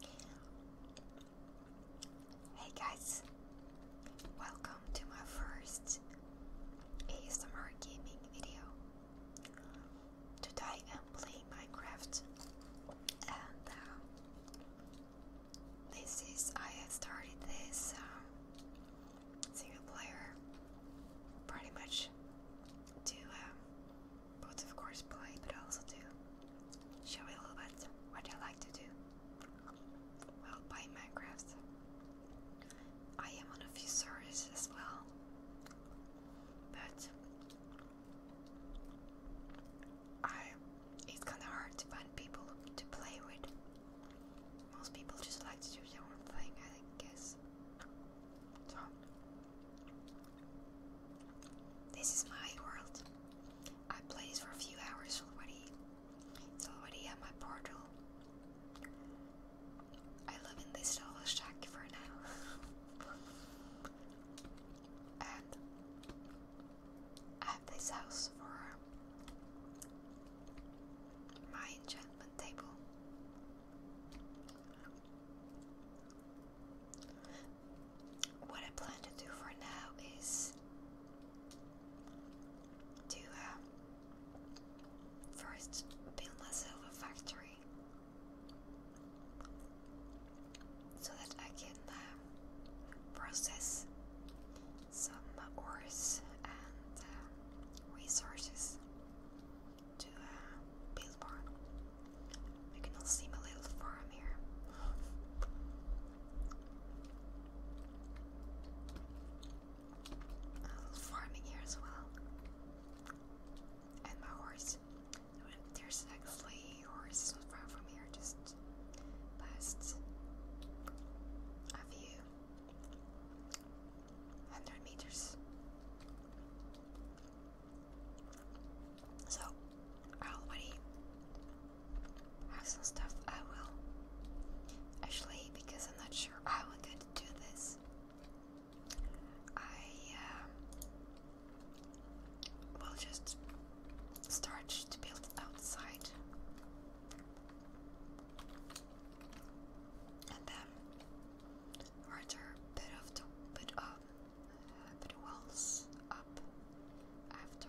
Hey guys, welcome to my first ASMR gaming video. Today I'm playing Minecraft, and uh, this is I have started this um, single player pretty much to um, both, of course, play, but also do. Show a little bit what I like to do. Well, play Minecraft. I am on a few servers as well, but I it's kind of hard to find people to play with. Most people just like to do their own thing, I guess. This is my world. I play this for a few hours already. It's already at my portal. I live in this little shack for now. and I have this house for my enchantment table. What I plan to do for now is to um, first build myself a factory so that I can um, process some ores and um, resources to uh, build more. I can not see my little farm here. A little farming here as well. And my horse. There's actually horses not far from here, just past a view. 100 meters. So, I already have some stuff I will. Actually, because I'm not sure how I'm going to do this, I um, will just start to build outside. And then further bit of the bit of that wells up after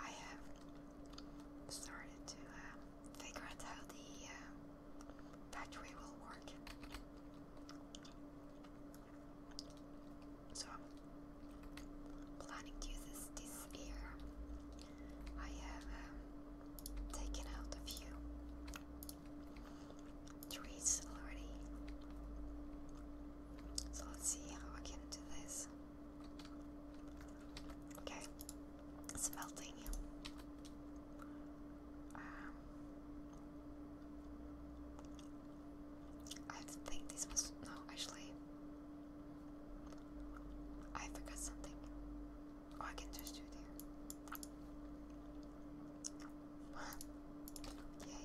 I have started to uh, figure out how the battery uh, will work. So I'm planning to use this this year. I have um, taken out a few three already. So let's see how I can do this. Okay, it's melting. Um, I think this was no, actually, I forgot something. Oh, I can just do it Yay. Okay.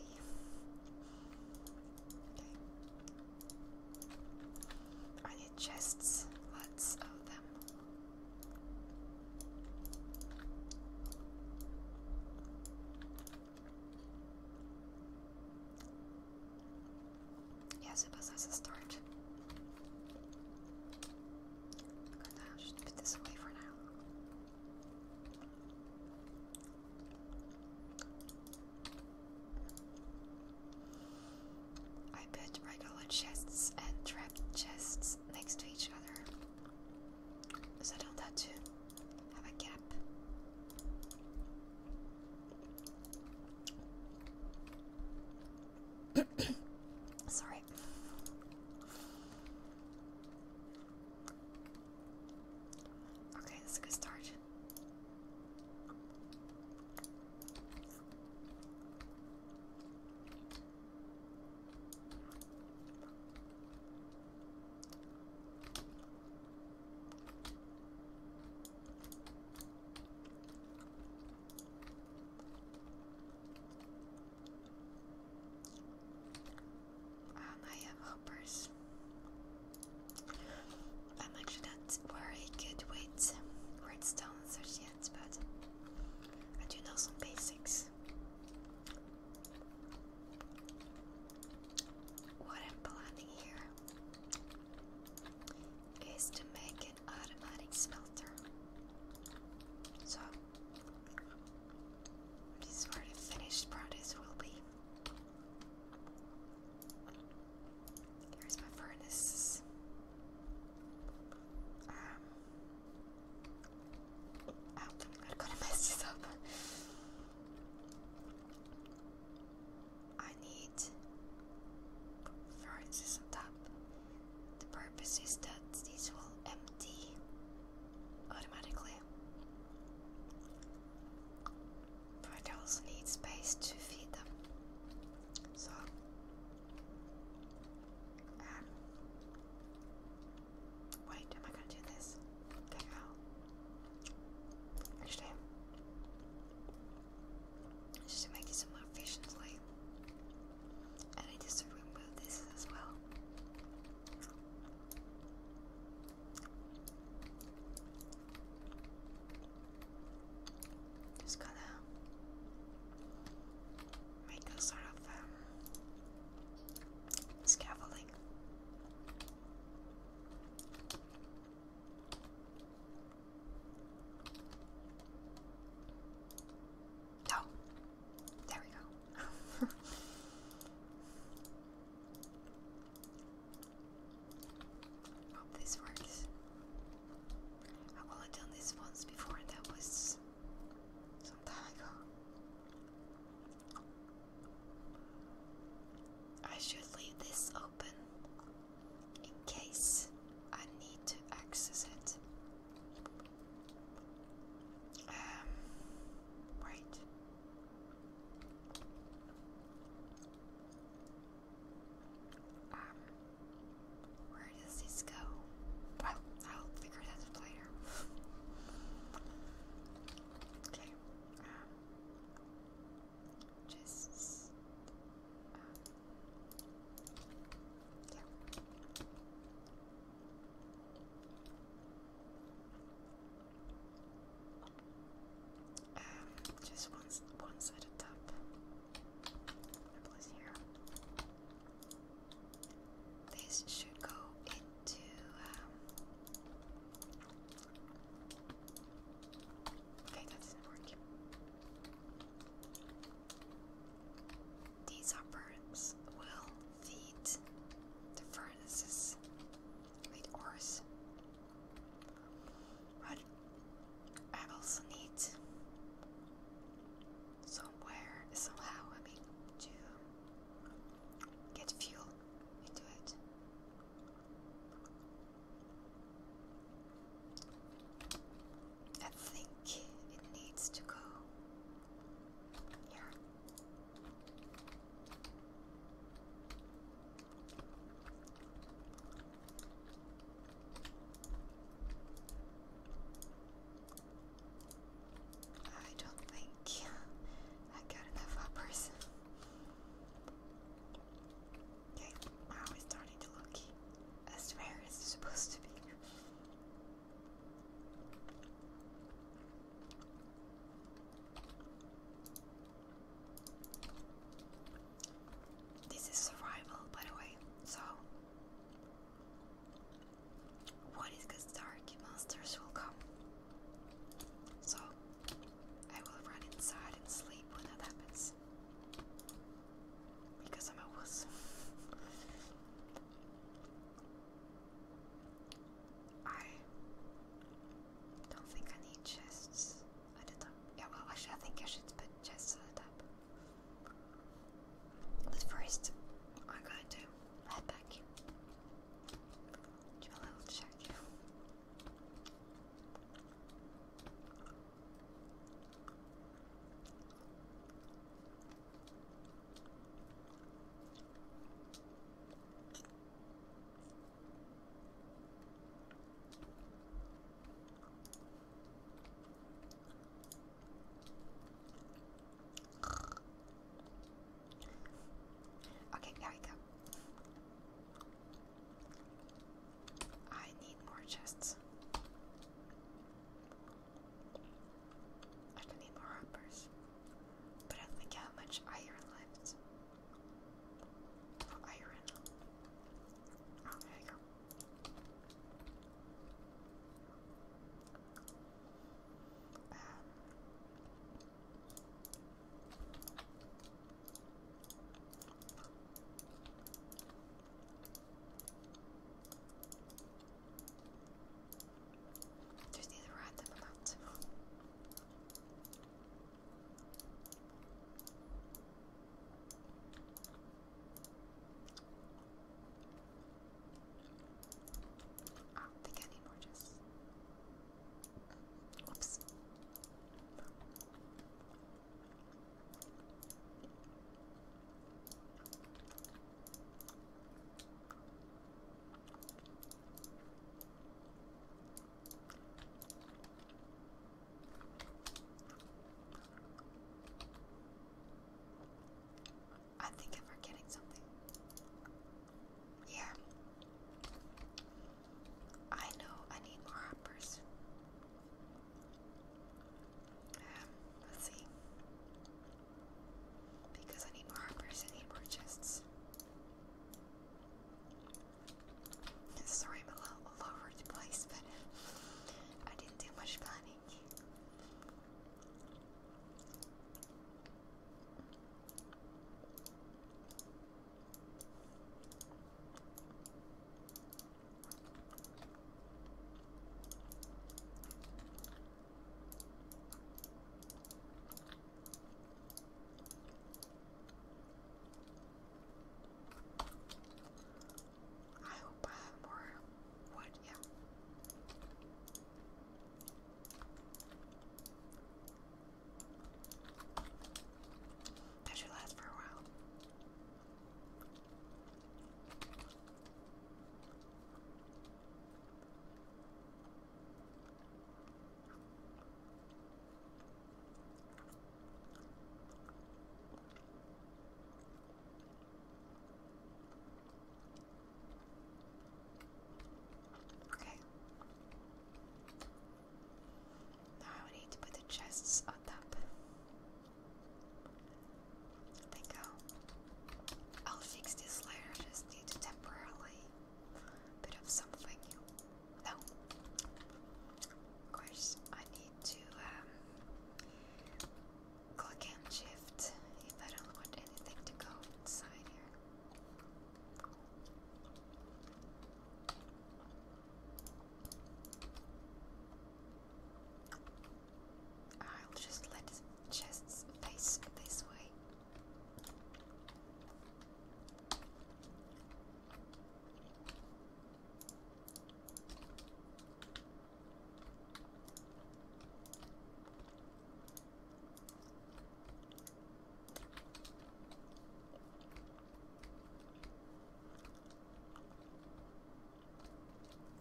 I need chests. Let's own them. Yeah, suppose that's a start. I'm put this away for now. I put regular chests and trap chests next to each other so I don't to have a gap. Sorry. Okay, that's a good start. Um, I have hoppers. I'm actually not where I could wait redstone as yet, but I do know some basics. What I'm planning here is to make an automatic smelter. So which is where the finished product will be. Here's my furnace. Um, oh, I'm not gonna mess this up. I need furnaces on top. The purpose is that these will empty automatically. But I also need space to feed them. So um, wait, am I gonna do this? actually just to make it more efficiently. I need to remove this as well. Just gotta make a sort of um, scaffolding. So, there we go. Hope this works. I've only done this once before, and that was some time ago. I should leave this open in case I need to access it. Um, right. Um, where does this go? Well, I'll figure that later. okay, um, just, um, yeah. Um, just one, one side of top. here. This should go into. Um, okay, that didn't work. These upperns will feed the furnaces with ores. But I also need somewhere, somehow, I mean, to get fuel into it. I think it needs to go here. I don't think I got enough uppers. Okay, wow, it's starting to look as rare as it's supposed to be. This is survival, by the way. So, what is gets dark, monsters will come. So, I will run inside and sleep when that happens because I'm a wuss. I don't think I need chests at the top. Yeah, well, actually, I think I should chests at the top. But first, I'm going to head back. Do a little check. Okay, there we go. I need more chests. I can eat more hoppers. But I think how much iron left. Oh, iron. Oh, there you go. Um, there's these random amounts. I don't think I need more just. Oops. I think I'm forgetting something. Yeah. I know I need more hoppers let's see. Because I need more hoppers, I need more chests. Sorry, I'm a little all over the place, but I didn't do much planning. I hope I have more yeah. That should last for a while. Okay. Now I need to put the chests on top. There you go. I'll fix this later, just need to temporarily bit of something. No. Of course, I need to um, click and shift if I don't want anything to go inside here. I'll just let chests face this way.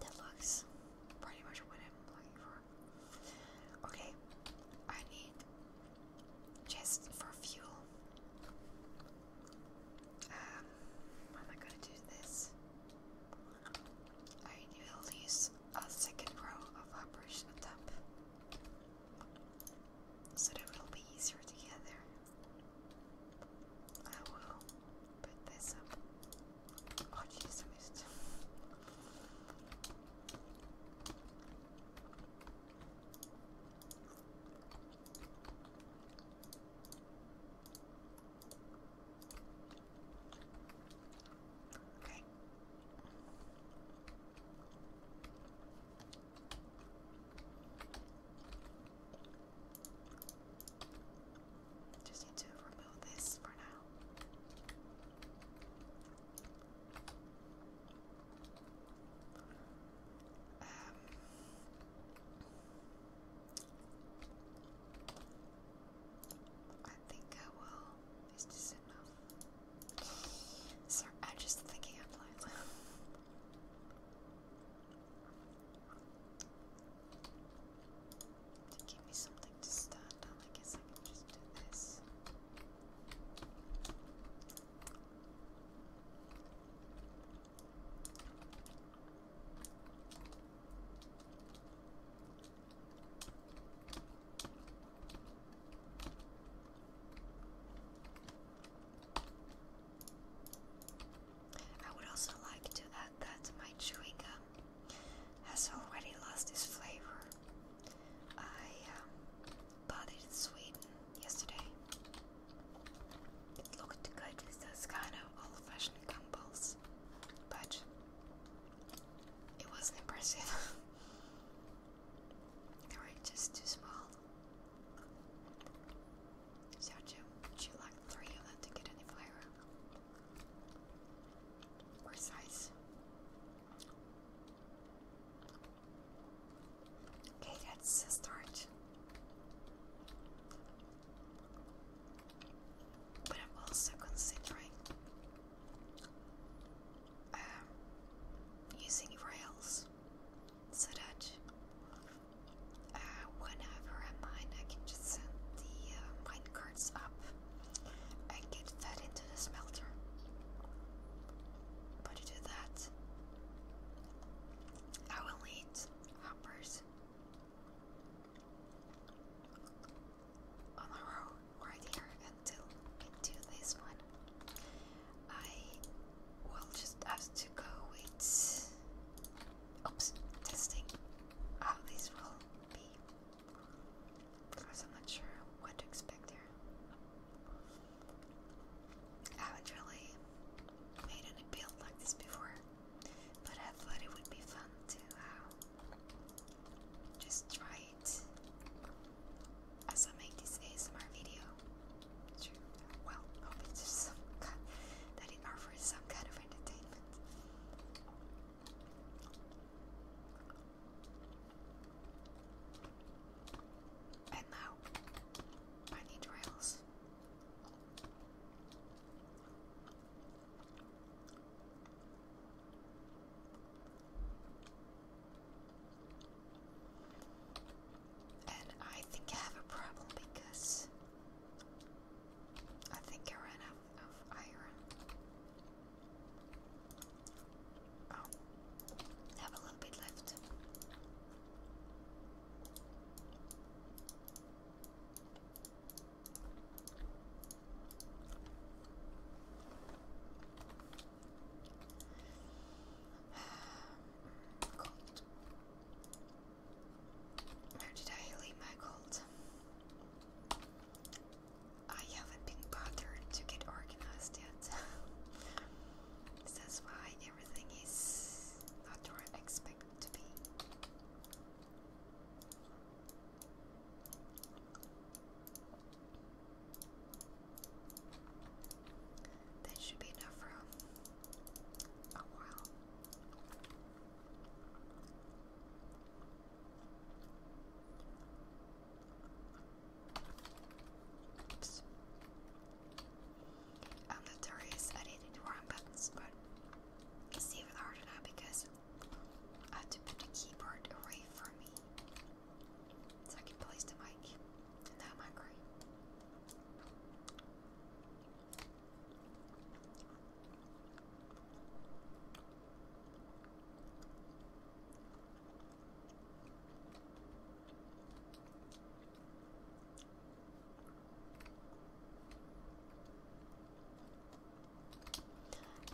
That looks pretty much what I'm looking for. Okay, I need just for fuel. Um, am I gonna do this? I need at a second row of operation at top, so that will be easier to I will put this Oh, jeez, just need to remove this for now. Um, I think I will. Is this Sorry, I'm just thinking out loud. To give me something to stand I guess I can just do this. I would also like to add that my chewing gum has already lost its flavor. I um, bought it in Sweden yesterday. It looked good with those kind of old fashioned gumballs, but it wasn't impressive. they were just too small. Sergio, would you like three of them to get any flavor? Or size? Okay, let's start. But I'm also considering um, using rails so that uh, whenever i mine, I can just send the uh, mine carts up and get fed into the smelter. But to do that, I will need hoppers on a row right here until I this one. I will just have to go with oops testing how this will be because I'm not sure what to expect here. I haven't really made any build like this before, but I thought it would be fun to uh, just try it as I make this ASMR video. True. Well, hope it's some kind that it offers some kind of entertainment. And now I need rails. And I think I have a problem because I think I ran out of iron. Oh, have a little bit left. Where did I leave my cold? I haven't been bothered to get organized yet. That's why everything is not where I expect to be. That should be enough room. a while. I'm notorious at hitting the wrong buttons, but it's even harder now because I have to put the keyboard away from me Second place to Mike, and now I'm hungry.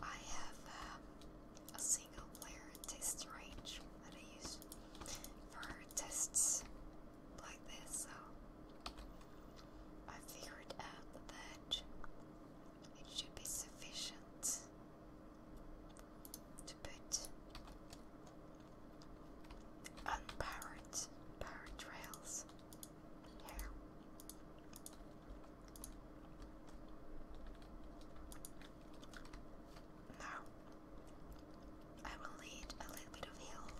I have um, single test range that I use for tests like this, so I figured out that it should be sufficient to put unpowered powered rails here. Now I will need a little bit of help.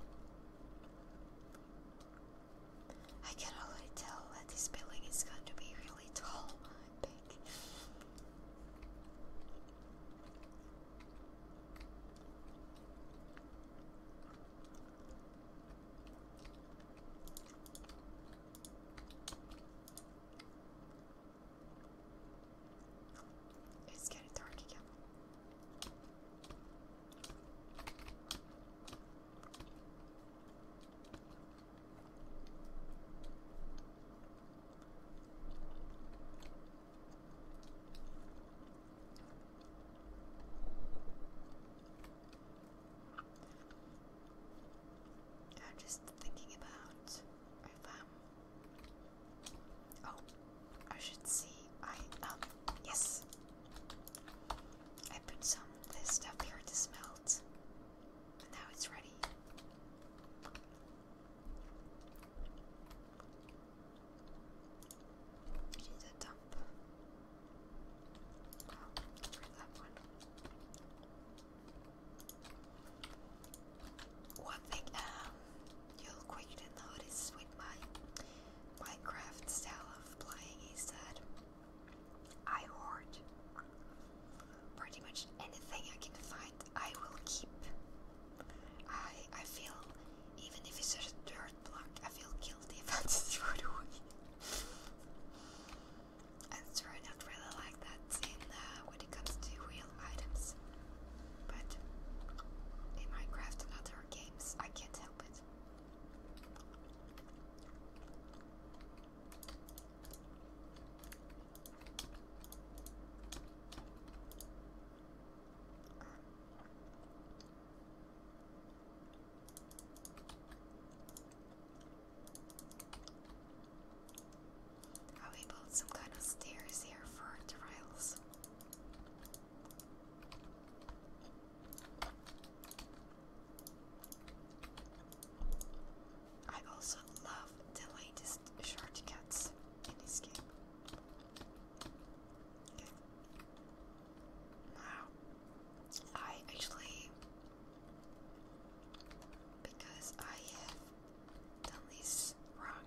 I can already tell that this building is going to be really tall and big. It's getting dark again. I'm just thinking about if I'm Oh, I should see. I um yes. I put some of this stuff here to smelt. And now it's ready. I need dump. Well, that one. One thing um, you'll quickly notice with my Minecraft style of playing is that I hoard pretty much anything I can find. I will keep. I I feel even if it's a dirt block, I feel guilty if I just throw it away. I sure not really like that uh, when it comes to real items, but in Minecraft and other games, I can't help it. How we some kind of stairs here for trials. I also love the latest shortcuts in this game. Okay. I actually because I have done this wrong.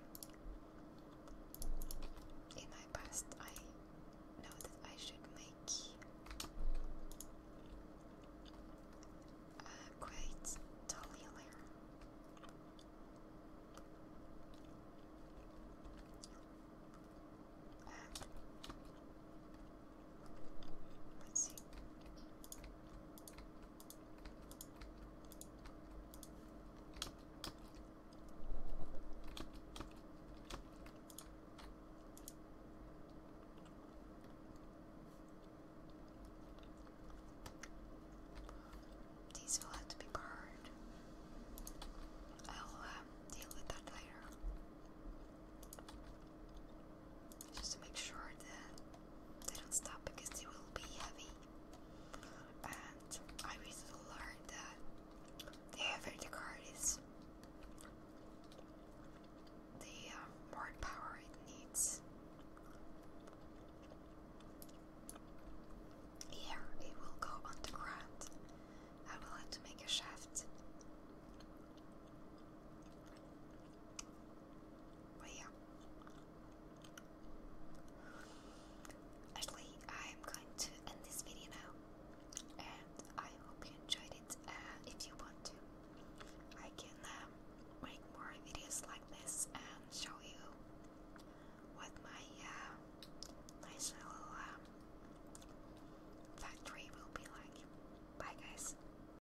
In my past, I know that I should make a uh, quite tall let's see. These will have to be burned. I'll um, deal with that later. Just to make sure that they don't stop because they will be heavy. And I recently learned that the heavier the is, the more power it needs. Here it will go underground. I will have to make a shaft. But Actually, I'm going to end this video now, and I hope you enjoyed it. Uh, if you want to, I can um, make more videos like this and show you what my nice uh, little um, factory will be like. Bye, guys.